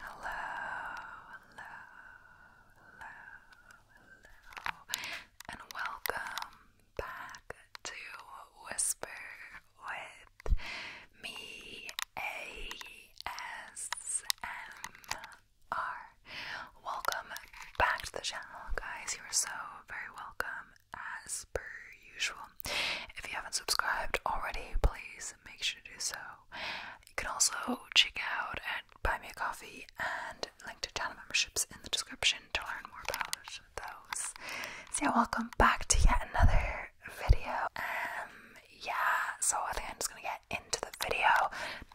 Hello, hello, hello, hello, and welcome back to Whisper with me, ASMR. Welcome back to the channel, guys. You are so very welcome as per usual. If you haven't subscribed already, please make sure to do so. You can also check out and buy me a coffee and link to channel memberships in the description to learn more about those. So yeah, welcome back to yet another video. Um yeah, so I think I'm just gonna get into the video.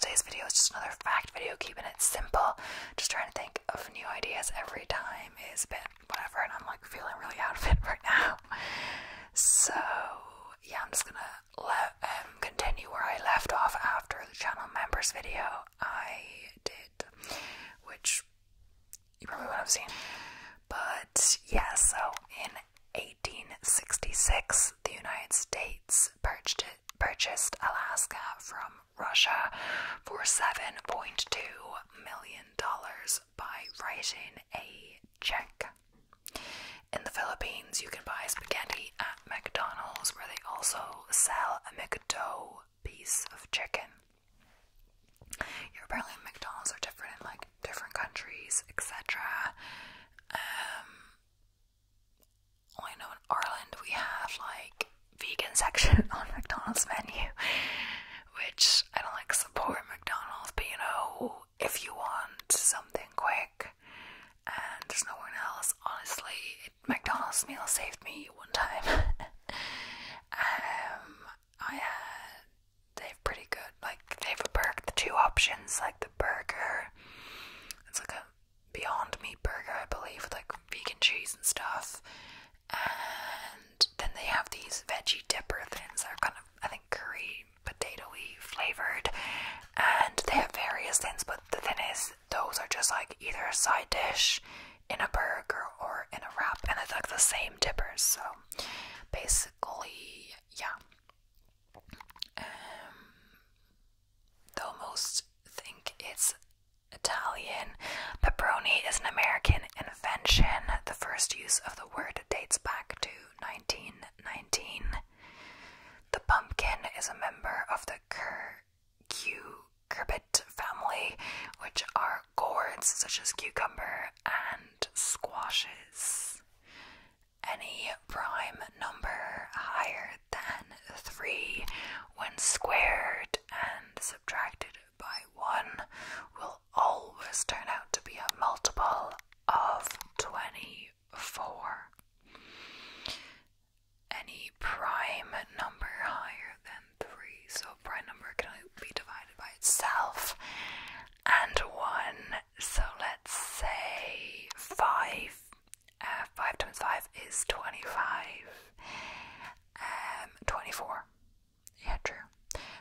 Today's video is just another fact video, keeping it simple, just trying to think of new ideas every time is a bit whatever, and I'm like feeling really out of it right now. So yeah, I'm just gonna let um, continue where I left off after the channel members video I did, which you probably would have seen. But yeah, so in 1866, the United States purchased purchased Alaska from Russia for $7.2 million by writing a check. In the Philippines, you can buy spaghetti at McDonald's, where they also sell a McDo piece of chicken. Yeah, apparently, McDonald's are different in like different countries, etc. Um, I know in Ireland we have like vegan section on McDonald's menu, which I don't like support McDonald's, but you know, if you want something quick and there's no one else, honestly, it, McDonald's meal saved me one time. um, I had they've pretty good like they've a burger the two options like the burger it's like a beyond meat burger I believe with like vegan cheese and stuff and then they have these veggie dipper things that are kind of, I think, curry potatoy flavored. And they have various things, but the thing is, those are just like either a side dish in a burger or in a wrap, and it's like the same dippers. So basically, yeah. Um, they almost think it's Italian. Pepperoni is an American invention. The first use of the word dates back to 1919. The pumpkin is a member of the cur cucurbit family, which are gourds such as cucumber and squashes. Any prime number higher than 3 when squared and subtracted by 1 will always turn out to be a multiple of 24. Any prime number higher than 3, so prime number can only be divided by itself and 1, so let's say 5. Uh, 5 times 5 is 25. Um, 24. Yeah, true.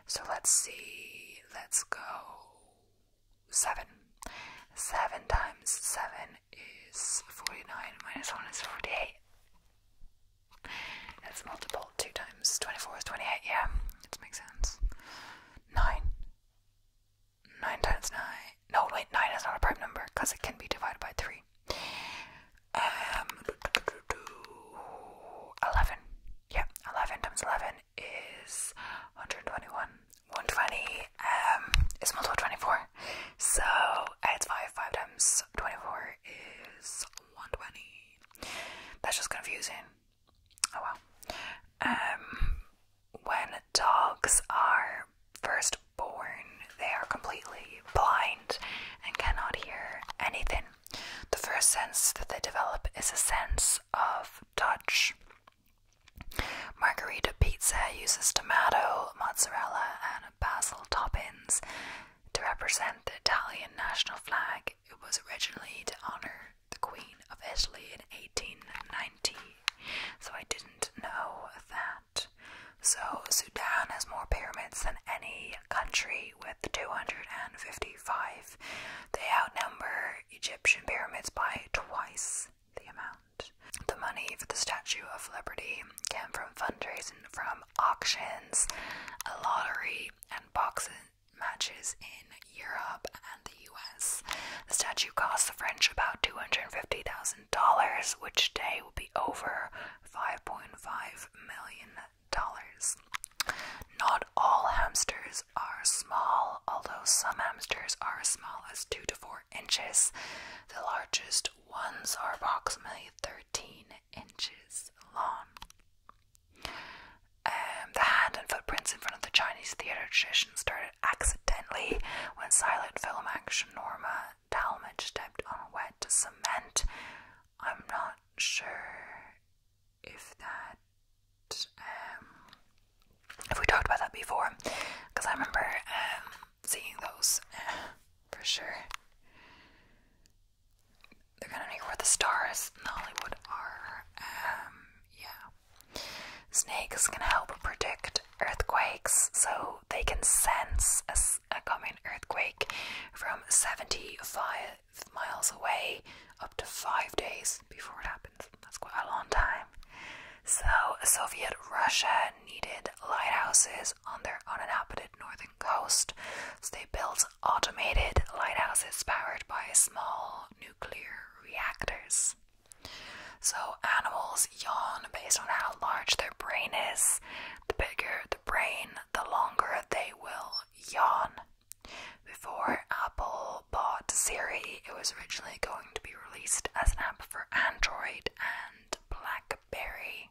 So let's see. Let's go 7. 7 times 7 is 49 minus 1 is 48. Let's multiple 2 times 24 is 28. Yeah, it makes sense. 9. 9 times 9. No, wait, 9 is not a prime number because it can be divided by 3. Um, 11. Yeah, 11 times 11 is 121. 120 um, is multiple 24. So it's 5. 5 times 24 is 120. That's just confusing. Oh well. Um, when dogs are First born, they are completely blind and cannot hear anything. The first sense that they develop is a sense of touch. Margherita pizza uses tomato, mozzarella, and basil toppings to represent the Italian national flag. It was originally to honor the Queen of Italy in 1890, so I didn't know that. So, Sudan has more pyramids than any country with 255. They outnumber Egyptian pyramids by twice the amount. The money for the Statue of Liberty came from fundraising from auctions, a lottery, and boxing matches in Europe and the US. The statue cost the French about $250,000, which today will be over $5.5 million. Not all hamsters are small, although some hamsters are as small as 2 to 4 inches. The largest ones are approximately 13 inches long. Um, the hand and footprints in front of the Chinese theater tradition started accidentally when silent film action Norma Talmadge stepped on wet cement. I'm not sure if that. Um, if we talked about that before, because I remember um, seeing those for sure. They're kind of near where the stars in Hollywood are. Um, yeah, snakes can help predict earthquakes, so they can sense a, coming earthquake from 75 miles away up to five days before it happens. That's quite a long time. So, Soviet Russia needed lighthouses on their uninhabited northern coast, so they built automated lighthouses powered by small nuclear reactors. So, animals yawn based on how large their brain is, the bigger the brain, the longer they will yawn. Before Apple bought Siri, it was originally going to be released as an app for Android and Blackberry.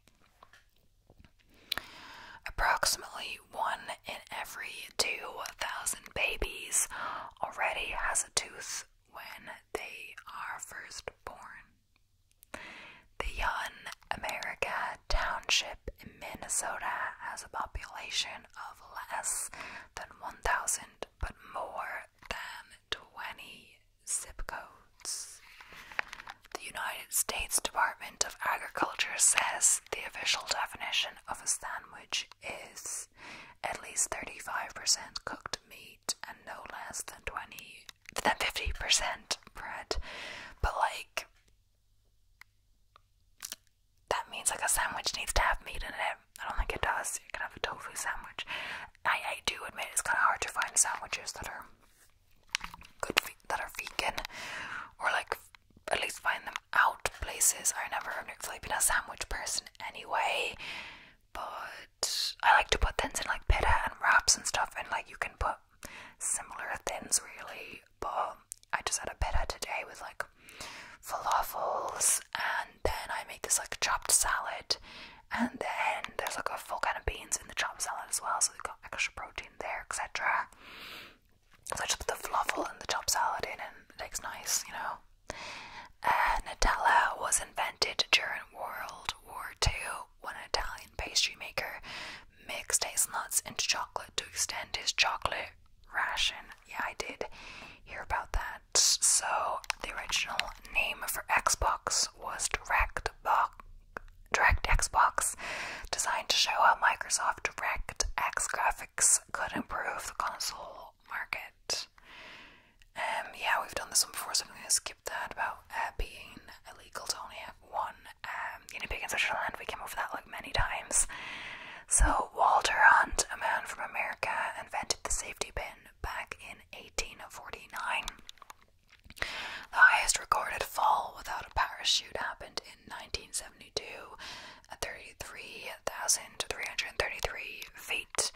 Approximately one in every 2,000 babies already has a tooth when they are first born. The Young America Township in Minnesota has a population of less than 1,000 but more than 20 zip codes. The United States Department of Agriculture says the official definition of a sandwich is at least 35% cooked meat and no less than 20 than 50% bread. But like that means like a sandwich needs to have meat in it. I don't think it does. You can have a tofu sandwich. I, I do admit it's kind of hard to find sandwiches that are good that are vegan or like at least find them out places. I never really am a sandwich person anyway. But I like to put thins in like pita and wraps and stuff, and like you can put similar thins really. But I just had a pita today with like falafels, and then I make this like chopped salad, and then there's like a full can of beans in the chopped salad as well, so you got extra protein there, etc. So I just put the falafel and the chopped salad in, and it tastes nice, you know. Uh, Nutella was invented during World War II when an Italian pastry maker mixed hazelnuts into chocolate to extend his chocolate ration. Yeah, I did hear about that. So, the original name for Xbox was DirectBox. Direct Xbox, designed to show how Microsoft DirectX graphics could improve the console market. Um, yeah, we've done this one before, so I'm going to skip that about uh, being illegal to only have one um, guinea pig in such a land. We came over that like many times. So Walter Hunt, a man from America, invented the safety pin back in 1849. The highest recorded fall without a parachute happened in 1972 at 33,333 feet.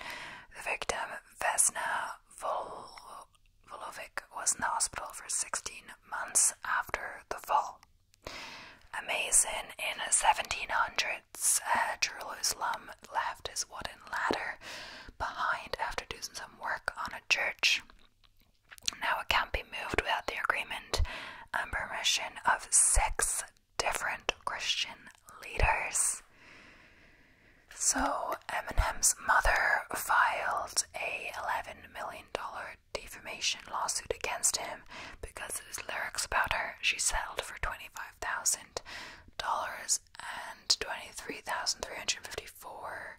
The victim, Vesna Vol Volovic was in the hospital for 16 months after the fall. Amazing in the 1700s, uh, Jerusalem left his wooden ladder behind after doing some work on a church. Now it can't be moved without the agreement and permission of six different Christian leaders. So Eminem's mother filed a $11 million defamation lawsuit against him because of his lyrics about her. She settled for $25,000 and $23,354,125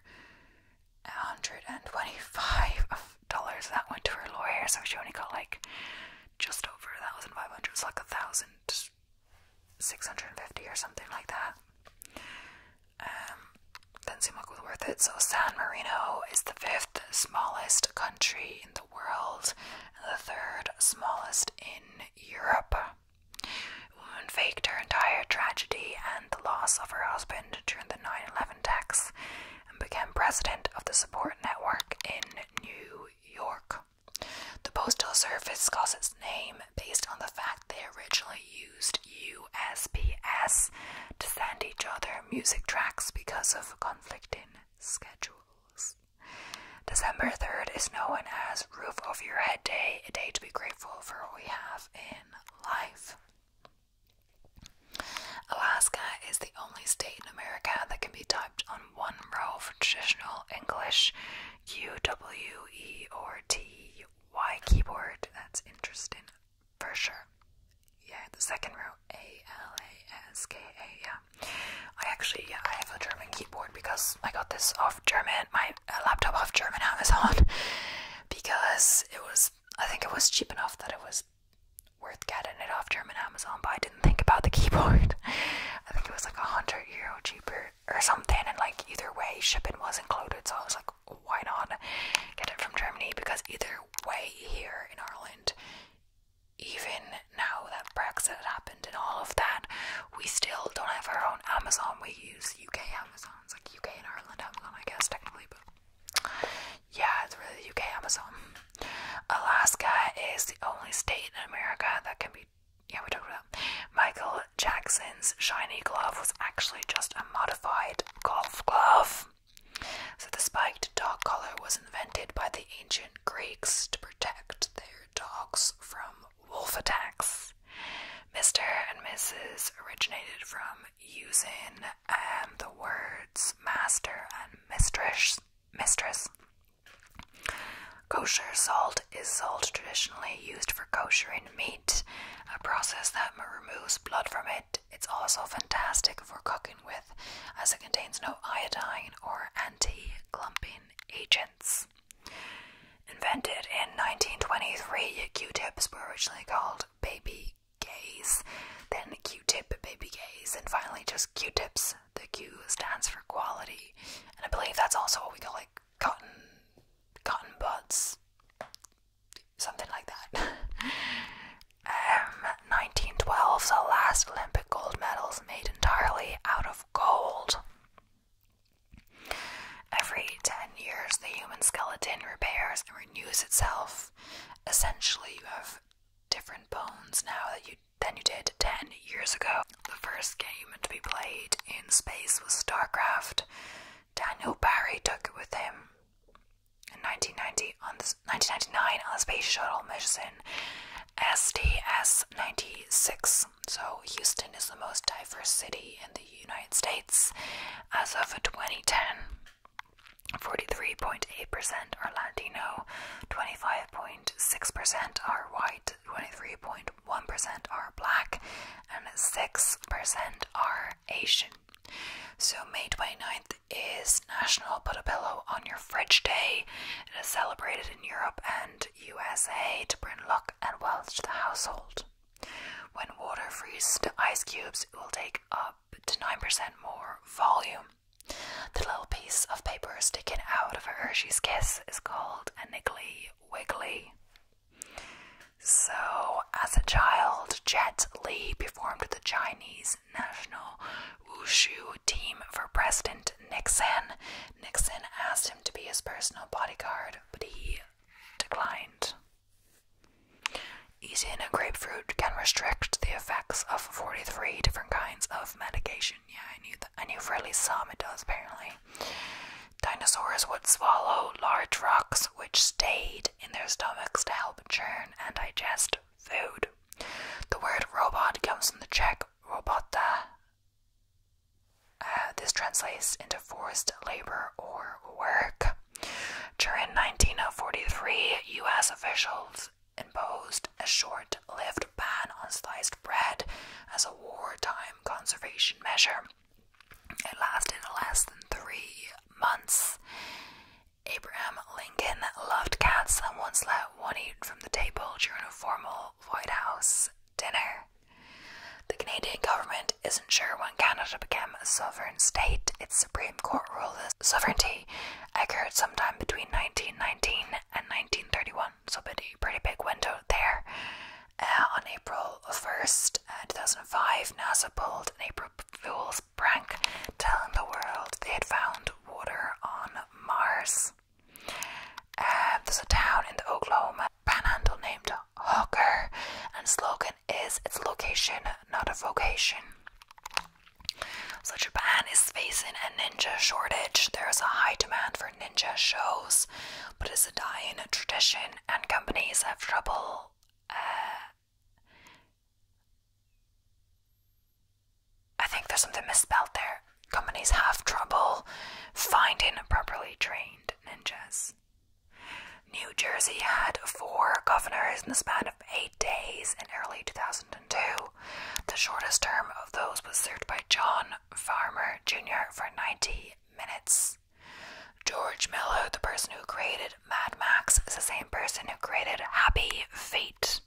that went to her lawyer, so she only got like just over $1,500, was like a thousand 650 or something like that. Um, doesn't it was worth it. So San Marino is the fifth smallest country in the world and the third smallest in Europe. The woman faked her entire tragedy and the loss of her husband during the 9-11 attacks and became president of the support network in New York. The postal service calls its name based on the fact they originally used USPS to send each other music tracks because of conflicting schedules. December 3rd is known as Roof Over Your Head Day, a day to be grateful for what we have in life. Alaska is the only state in America that can be typed on one row for traditional English, U W E keyboard. That's interesting for sure. Yeah, the second row A L A S K A. Yeah, I actually yeah I have a German keyboard because I got this off German my laptop off German Amazon because it was I think it was cheap enough that it was worth getting it off German Amazon, but I didn't think about the keyboard. I think it was like a hundred euro cheaper or something and like either way shipping was included so I was like why not get it from Germany because either way here in Ireland even now that Brexit happened and all of that we still don't have our own Amazon we use UK Amazons like UK and Ireland Amazon I guess technically but yeah it's really UK Amazon Alaska is the only state in America that can be yeah, we talked about Michael Jackson's shiny glove was actually just a modified golf glove. So the spiked dog collar was invented by the ancient Greeks to protect their dogs from wolf attacks. Mr. and Mrs. originated from using um, the words master and mistress, mistress. Kosher salt is salt traditionally used for koshering meat, a process that removes blood from it. It's also fantastic for cooking with, as it contains no iodine or anti clumping agents. Invented in 1923, Q tips were originally called baby gays, then Q tip baby gays, and finally just Q tips. The Q stands for quality, and I believe that's also what we call it cotton cotton buds something like that. um 1912's the last Olympic gold medals made entirely out of gold. Every 10 years, the human skeleton repairs and renews itself. Essentially, you have different bones now that you than you did 10 years ago. The first game to be played in space was StarCraft. Daniel Barry took it with him in 1990 on the, 1999 on Space Shuttle mission STS 96. So, Houston is the most diverse city in the United States as of 2010. 43.8% are Latino, 25.6% are white, 23.1% are black, and 6% are Asian. So, May 29th is National Put a Pillow on Your Fridge Day. It is celebrated in Europe and USA to bring luck and wealth to the household. When water freezes to ice cubes, it will take up to 9% more volume. The little piece of paper sticking out of a Hershey's kiss is called a niggly wiggly. So, as a child, Jet Lee performed the Chinese national wushu team for President Nixon. Nixon asked him to be his personal bodyguard, but he declined. Eating a grapefruit can restrict the effects of 43 different kinds of medication. Yeah, I knew that. I knew for at least some it does, apparently. Dinosaurs would swallow large rocks which stayed in their stomachs to help churn and digest food. The word robot comes from the Czech robota. Uh, this translates into forced labor or work. During 1943, US officials imposed a short lived ban on sliced bread as a wartime conservation measure. It lasted less than three months. Abraham Lincoln loved cats and once let one eat from the table during a formal White House dinner. The Canadian government isn't sure when Canada became a sovereign state. Its Supreme Court ruled that sovereignty occurred sometime between 1919 and 1931 so pretty, pretty big window there. Uh, on April 1st, uh, 2005, NASA pulled an April Fool's prank, telling the world they had found water on Mars. Uh, there's a town in the Oklahoma panhandle named Hooker, and slogan is its location, not a vocation. So Japan is facing a ninja shortage. There's a high demand for ninja shows, but it's a dying tradition, and companies have trouble. Uh, I think there's something misspelled there. Companies have trouble finding properly trained ninjas. New Jersey had four governors in the span of eight days in early 2002. The shortest term of those was served by John Farmer Jr. for 90 minutes. George Miller, the person who created Mad Max, is the same person who created Happy Feet.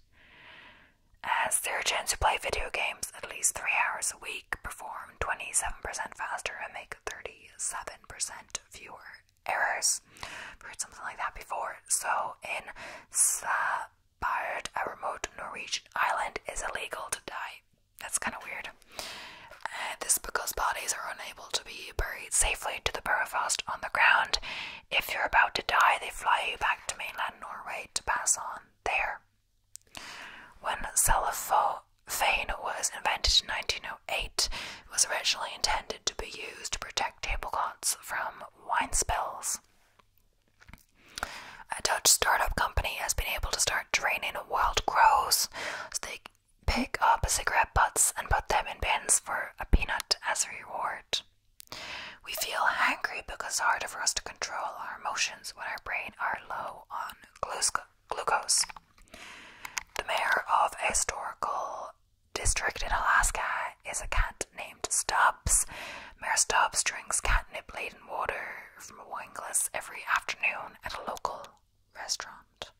As surgeons who play video games at least three hours a week perform 27% faster and make 37% fewer errors. I've heard something like that before. So in Svalbard, a remote Norwegian island, is illegal to die that's kind of weird. Uh, this is because bodies are unable to be buried safely to the burial permafrost on the ground. If you're about to die, they fly you back to mainland Norway to pass on there. When cellophane was invented in 1908, it was originally intended to be used to protect tablecloths from wine spills. A Dutch startup company has been able to start training wild crows so they pick up cigarette butts and put them in bins for a peanut as a reward. We feel angry because it's harder for us to control our emotions when our brain are low on glucose. The mayor of a historical district in Alaska is a cat named Stubbs. Mayor Stubbs drinks catnip water from a wine glass every afternoon at a local restaurant.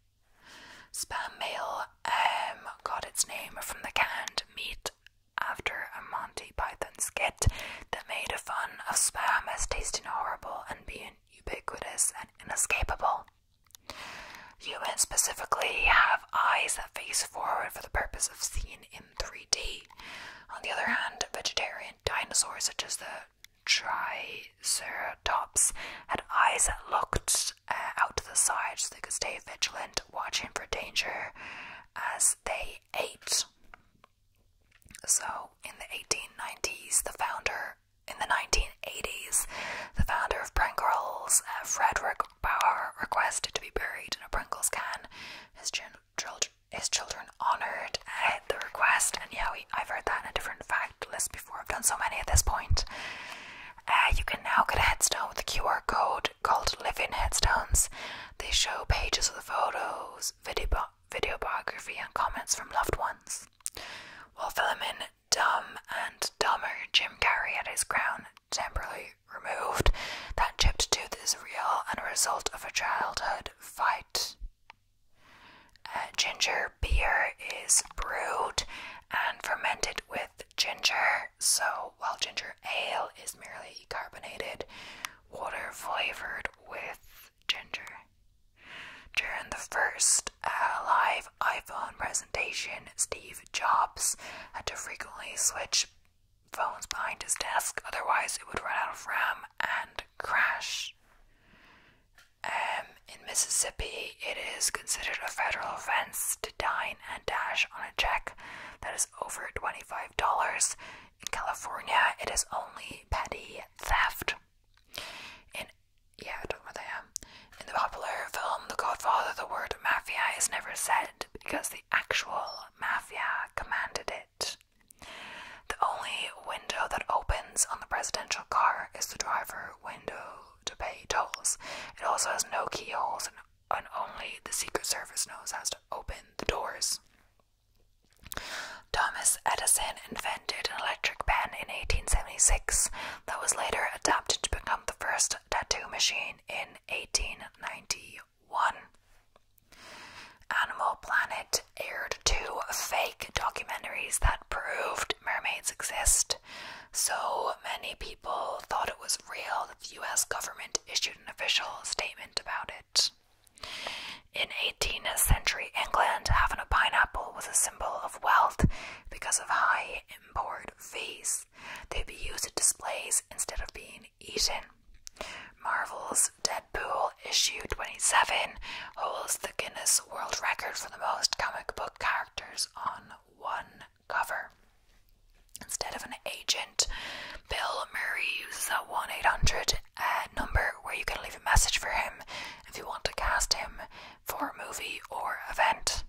Spam mail um, got its name from the canned meat after a Monty Python skit that made fun of spam as tasting horrible and being ubiquitous and inescapable. Humans specifically have eyes that face forward for the purpose of seeing in 3D. On the other hand, vegetarians dinosaurs such as the Triceratops had eyes that looked uh, out to the side so they could stay vigilant, watching for danger as they ate. So, in the 1890s, the founder, in the 1980s, the founder of Pringles, uh, Frederick Bauer, requested to be buried in a Pringles can. His children is children honored at the request. And yeah, we, I've heard that in a different fact list before. I've done so many at this point. Uh, you can now get a headstone with a QR code called Living Headstones. They show pages with photos, video, video biography, and comments from loved ones. While filming Dumb and Dumber, Jim Carrey had his crown temporarily removed. That chipped tooth is real and a result of a childhood fight. Uh, ginger beer is brewed and fermented with ginger, so while ginger ale is merely carbonated water flavored with ginger. During the first uh, live iPhone presentation, Steve Jobs had to frequently switch phones behind his desk, otherwise, it would run out of RAM and crash. Um, in Mississippi, it is considered a federal offense to dine and dash on a check that is over $25. In California, it is only petty theft. In yeah, I don't know what I am. In the popular film The Godfather, the word mafia is never said because the actual mafia commanded it. The only window that opens on the presidential car is the driver window to pay tolls. It also has no keyholes, and only the Secret Service knows how to open the doors. Thomas Edison invented an electric pen in 1876 that was later adapted to become the first tattoo machine in 1890. One Animal Planet aired two fake documentaries that proved mermaids exist. So many people thought it was real that the US government issued an official statement about it. In 18th century England, having a pineapple was a symbol of wealth because of high import fees. They'd be used at displays instead of being eaten. Marvel's Deadpool issue 27 holds the Guinness World Record for the most comic book characters on one cover. Instead of an agent, Bill Murray uses a 1 800 uh, number where you can leave a message for him if you want to cast him for a movie or event.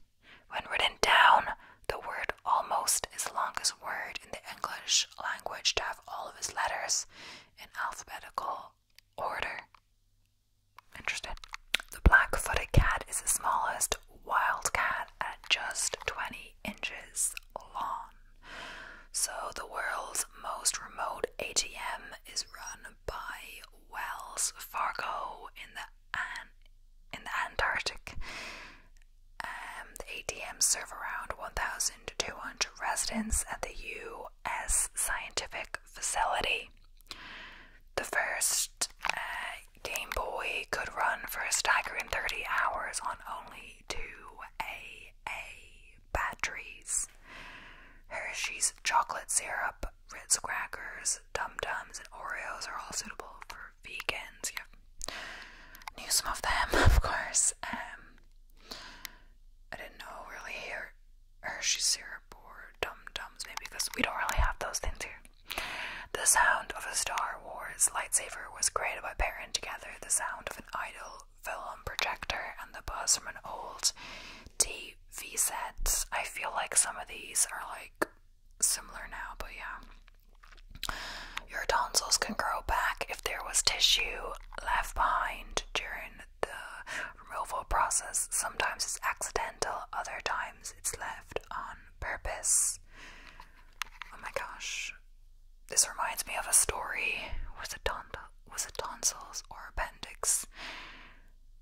When written down, the word almost is the longest word in the English language to have all of its letters in alphabetical order. Interested? The black footed cat is the smallest wild cat at just 20 inches long. So, the world's most remote ATM is run by Wells Fargo in the, in the Antarctic. Um, the ATMs serve around 1,000 Two hundred residents at the U.S. scientific facility. The first uh, Game Boy could run for a staggering 30 hours on only two AA batteries. Hershey's chocolate syrup, Ritz crackers, Dum Dums, and Oreos are all suitable for vegans. Yeah. Knew some of them, of course. Um, I didn't know really here Hershey syrup or Dum Dums, maybe because we don't really have those things here. The sound of a Star Wars lightsaber was created by pairing together the sound of an idle film projector and the buzz from an old TV set. I feel like some of these are like similar now, but yeah. Your tonsils can grow back if there was tissue left behind during the removal process. Sometimes it's accidental, other times it's left on purpose. Oh my gosh. This reminds me of a story. Was it, ton was it tonsils or appendix?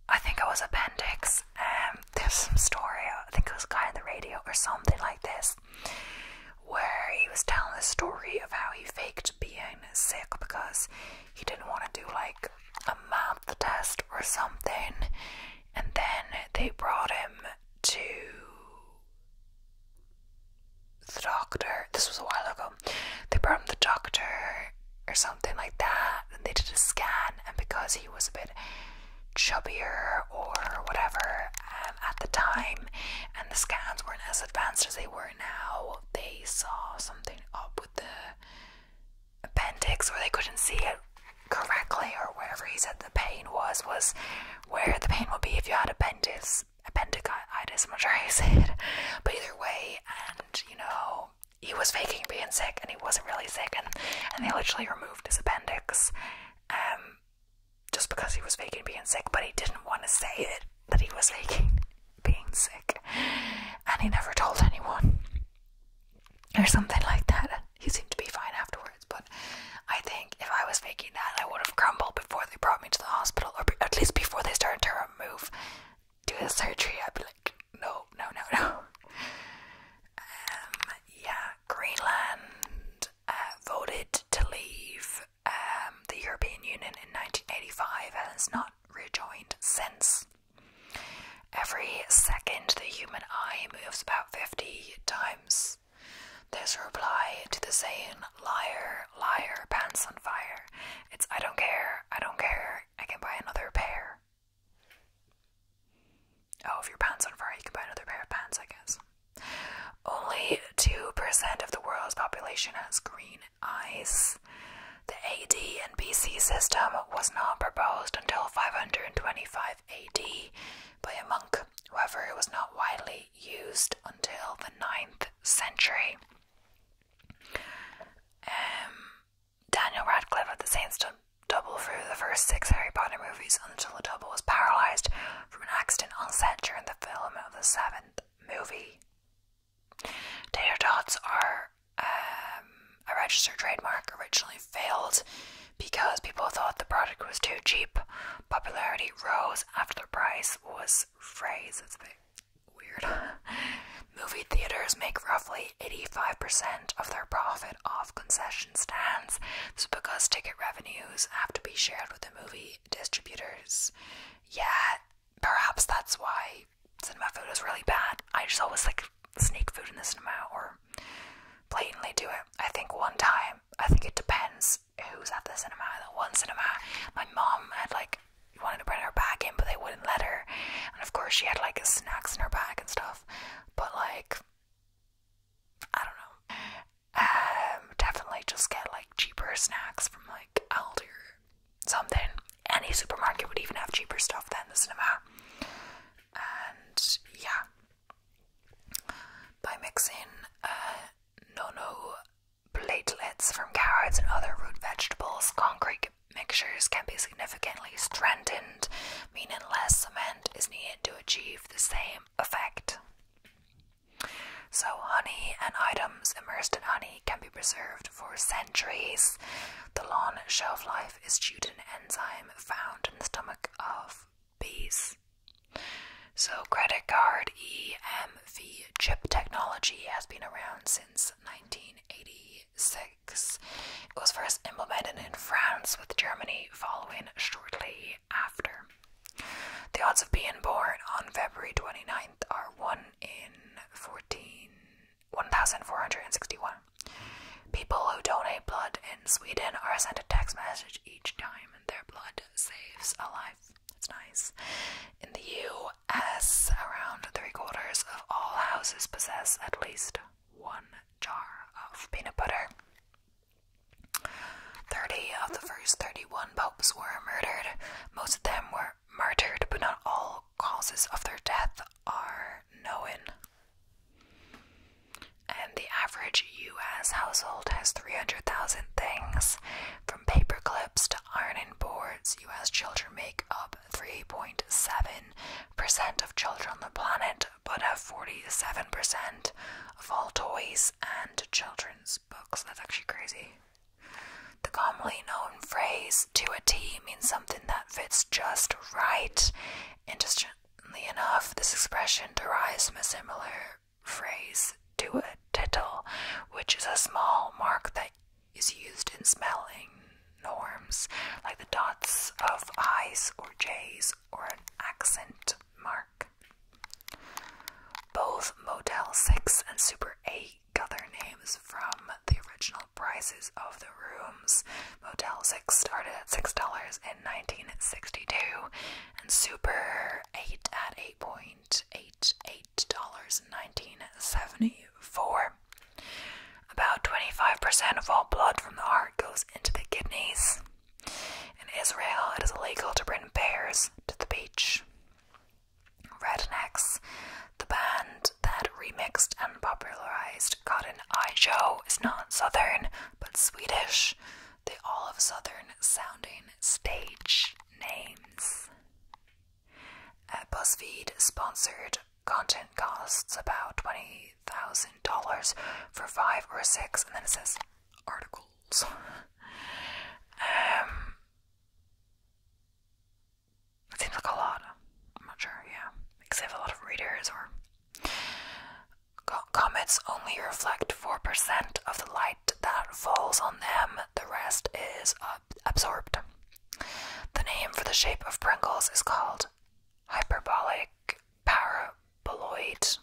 I think it was appendix. Um, there's some story. I think it was a guy on the radio or something like this where he was telling the story of how he faked being sick because he didn't want to do like a math test or something. And then they brought him to the doctor. This was a while ago. They brought him to the doctor or something like that. And they did a scan, and because he was a bit chubbier or whatever um, at the time, and the scans weren't as advanced as they were now. They saw something up with the appendix or they couldn't see it correctly or wherever he said the pain was was where the pain would be if you had appendix appendicitis, not sure how you But either way, and you know, he was faking being sick and he wasn't really sick and, and they literally removed his appendix. Um just because he was faking being sick, but he didn't want to say it that he was faking being sick, and he never told anyone or something like that. He seemed to be fine afterwards, but I think if I was faking that, I would have crumbled before they brought me to the hospital, or at least before they started to remove, do the surgery. I'd be like, no, no, no, no. Um, yeah, Greenland uh, voted to leave um, the European Union in 1985 and has not rejoined since. Every second, the human eye moves about 50 times. There's a reply to the saying, liar, liar, pants on fire. It's, I don't care, I don't care, I can buy another pair. Oh, if your pants on fire, you can buy another pair of pants, I guess. Only 2% of the world's population has green eyes. The AD and BC system was not proposed until 525 AD by a monk, however, it was not widely used until the 9th century. Um, Daniel Radcliffe at the Sandstone double through the first six Harry Potter movies until the double was paralysed from an accident on set during the filming of the seventh movie. Tater are um, a registered trademark, originally failed because people thought the product was too cheap. Popularity rose after the price was raised. It's a bit weird. Movie theaters make roughly 85% of their profit off concession stands. This is because ticket revenues have to be shared with the movie distributors. Yeah, perhaps that's why cinema food is really bad. I just always like sneak food in the cinema or blatantly do it. I think one time, I think it depends who's at the cinema. The one cinema, my mom had like wanted to bring her bag in, but they wouldn't let her. And of course, she had like snacks in her bag and stuff. But like, I don't know. Um, definitely just get like cheaper snacks from like Aldi something. Any supermarket would even have cheaper stuff than the cinema. And yeah, by mixing uh, nono platelets from carrots and other root vegetables, concrete mixtures can be significantly strengthened, meaning less cement is needed to achieve the same effect. So, honey and items immersed in honey can be preserved for centuries. The long shelf life is due to an enzyme found in the stomach of bees. So, credit card EMV chip technology has been around since 1986. It was first implemented in France, with Germany following shortly after. The odds of being born on February 29th are 1 in 14, People who donate blood in Sweden are sent a text message each time, their blood saves a life. It's nice. In the US, around three quarters of all houses possess at least one jar of peanut butter. Thirty of the first thirty-one popes were murdered. Most of them were murdered, but not all causes of their death are known. And the average U.S. household has 300,000 things, from paper clips to ironing boards. U.S. children make up 3.7% of children on the planet, but have 47% of all toys and children books. That's actually crazy. The commonly known phrase to a T means something that fits just right. Interestingly enough, this expression derives from a similar phrase to a tittle, which is a small mark that is used in spelling norms, like the dots of I's or J's or an accent mark. Both Motel 6 and Super 8 got their names from the original prices of the rooms. Motel 6 started at $6 in 1962 and Super 8 at $8.88 in 1974. About 25% of all blood from the heart goes into the kidneys. In Israel, it is illegal to bring bears to the beach. Rednecks, the band that remixed and popularized Cotton Eye Joe, is not Southern but Swedish. They all have Southern sounding stage names. Uh, BuzzFeed sponsored content costs about $20,000 for five or six, and then it says articles. Um, it seems like a lot. I'm not sure. Yeah, because they have a lot of readers or. Comets only reflect 4% of the light that falls on them, the rest is absorbed. The name for the shape of Pringles is called hyperbolic para polite.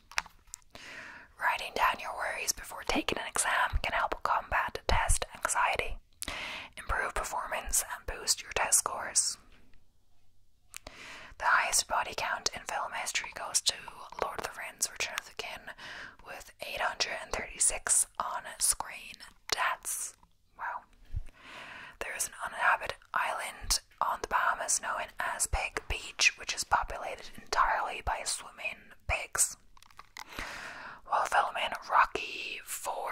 Writing down your worries before taking an exam can help combat test anxiety, improve performance, and boost your test scores. The highest body count in film history goes to Lord of the Rings Return of the King with 836 on screen deaths. Wow. There is an uninhabited island on the Bahamas known known as Pig Beach, which is populated entirely by swimming pigs. While filming Rocky 4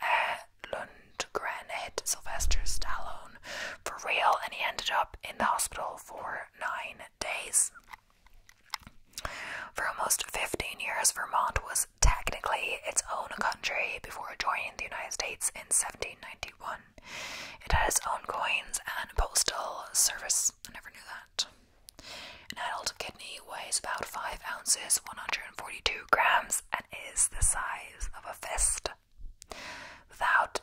at Lundgren hit Sylvester Stallone for real and he ended up in the hospital for nine days. For almost 15 years, Vermont was technically its own country before joining the United States in 1791. It has its own coins and postal service. I never knew that. An adult kidney weighs about 5 ounces, 142 grams, and is the size of a fist. without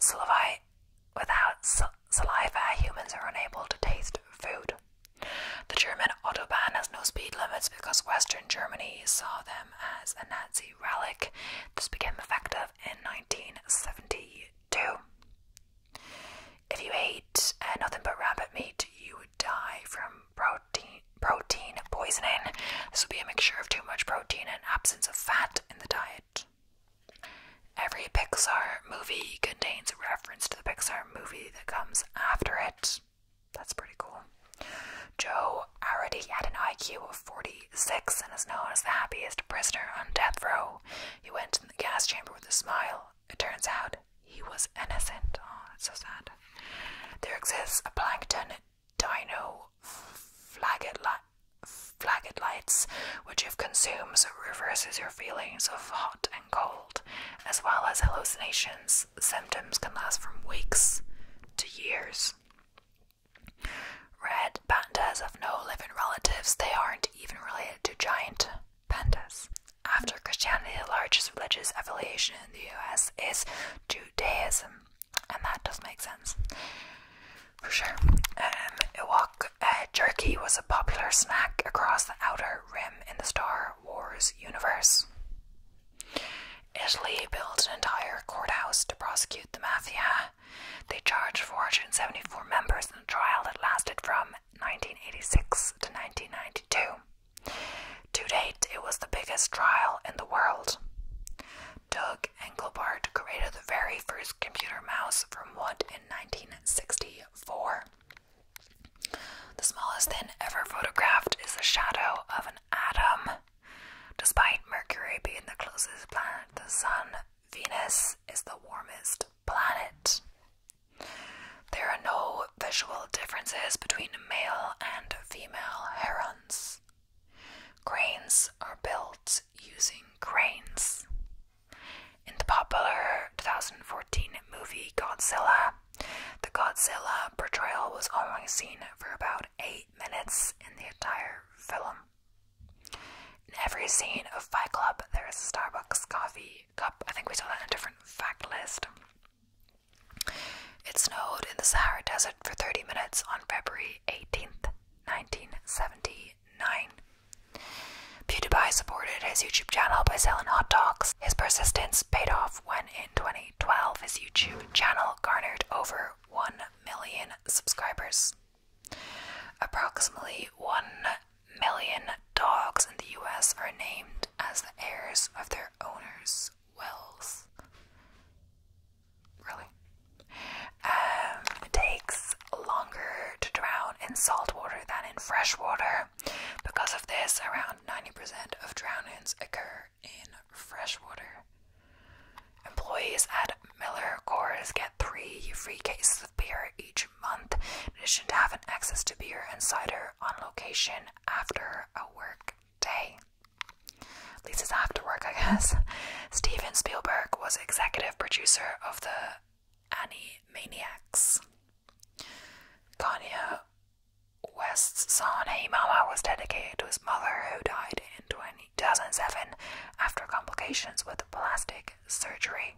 saliva, humans are unable to taste food. The German autobahn has no speed limits because Western Germany saw them as a Nazi relic. This became effective in 1972. If you ate uh, nothing but rabbit meat, you would die from protein protein poisoning. This would be a mixture of too much protein and absence of fat in the diet. Every Pixar movie contains a reference to the Pixar movie that comes after it. That's pretty cool. Joe already had an IQ of 46 and is known as the happiest prisoner on death row. He went in the gas chamber with a smile. It turns out he was innocent. Oh, that's so sad. There exists a plankton dino flaget lights, which if consumed reverses your feelings of hot and cold, as well as hallucinations. Symptoms can last from weeks to years. Red pandas have no living relatives, they aren't even related to giant pandas. After Christianity, the largest religious affiliation in the US is Judaism, and that does make sense. For sure. Um, uh, jerky was a popular snack across the outer rim in the Star Wars universe. Italy built an entire courthouse to prosecute the mafia. They charged 474 members in a trial that lasted from 1986 to 1992. To date, it was the biggest trial in the world. Doug Engelbart created the very first computer mouse from wood in 1964. The smallest thing ever photographed is the shadow of an atom. Despite Mercury being the closest planet to the Sun, Venus is the warmest planet. There are no visual differences between male and female herons. Cranes are built using cranes. In the popular 2014 movie Godzilla, the Godzilla portrayal was only seen for about eight minutes in the entire film. In every scene of Fight Club, there is a Starbucks coffee cup. I think we saw that in a different fact list. It snowed in the Sahara Desert for 30 minutes on February 18th, 1979. PewDiePie supported his YouTube channel by selling hot dogs. His persistence paid off when, in 2012, his YouTube channel garnered over 1 million subscribers. Approximately 1 million dogs in the US are named as the heirs of their owners' wealth. Really? Um, it takes longer to drown in salt water than in fresh water. Because of this, around 90% of drownings occur in fresh water. Employees at Miller Coors get three free cases beer each month, in addition to having access to beer and cider on location after a work day. At least after work, I guess. Steven Spielberg was executive producer of the Animaniacs. Kanye West's son Hey Mama was dedicated to his mother, who died in 20 2007 after complications with plastic surgery.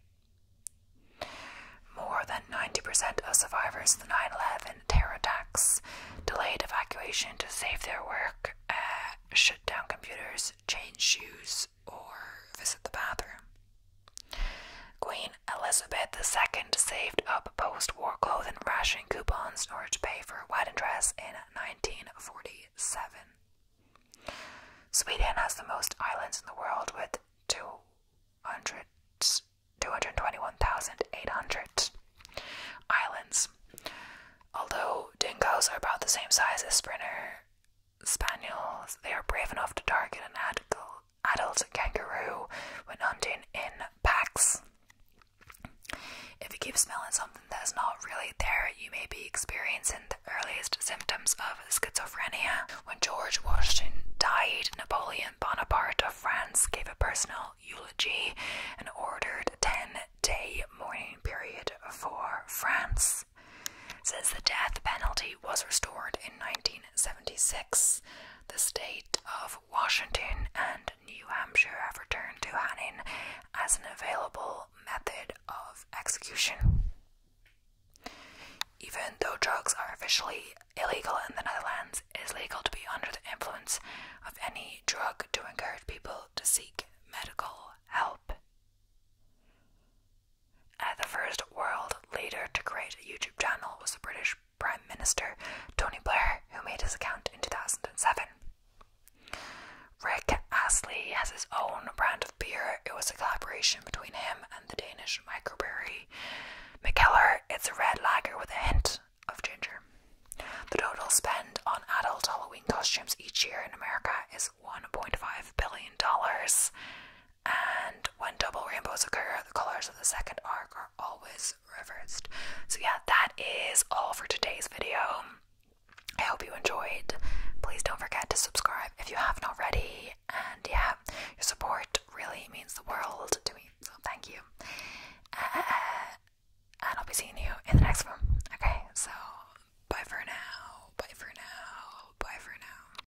More than 90% of survivors of the 9 11 terror attacks delayed evacuation to save their work, uh, shut down computers, change shoes, or visit the bathroom. Queen Elizabeth II saved up post war clothing ration coupons in order to pay for a wedding dress in 1947. Sweden has the most islands in the world with 200, 221,800 islands. Although dingoes are about the same size as Sprinter spaniels, they are brave enough to target an adult kangaroo when hunting in packs. If you keep smelling something that's not really there, you may be experiencing earliest symptoms of schizophrenia. When George Washington died, Napoleon Bonaparte of France gave a personal eulogy and ordered a 10 day mourning period for France. Since the death penalty was restored in 1976, the state of Washington and New Hampshire have returned to Hanning as an available method of execution. Even though drugs are officially illegal in the Netherlands, it is legal to be under the influence of any drug to encourage people to seek medical help. the first world leader to create a YouTube channel was the British Prime Minister Tony Blair, who made his account in 2007. Rick Astley has his own brand of beer. It was a collaboration between him and the Danish microbrewery McKellar. It's a red lager with a hint of ginger. The total spend on adult Halloween costumes each year in America is $1.5 billion. And when double rainbows occur, the colors of the second arc are always reversed. So, yeah, that is all for today's video. I hope you enjoyed. Please don't forget to subscribe if you haven't already. And yeah, your support really means the world to me. So thank you. Uh, and I'll be seeing you in the next one. Okay, so bye for now. Bye for now. Bye for now.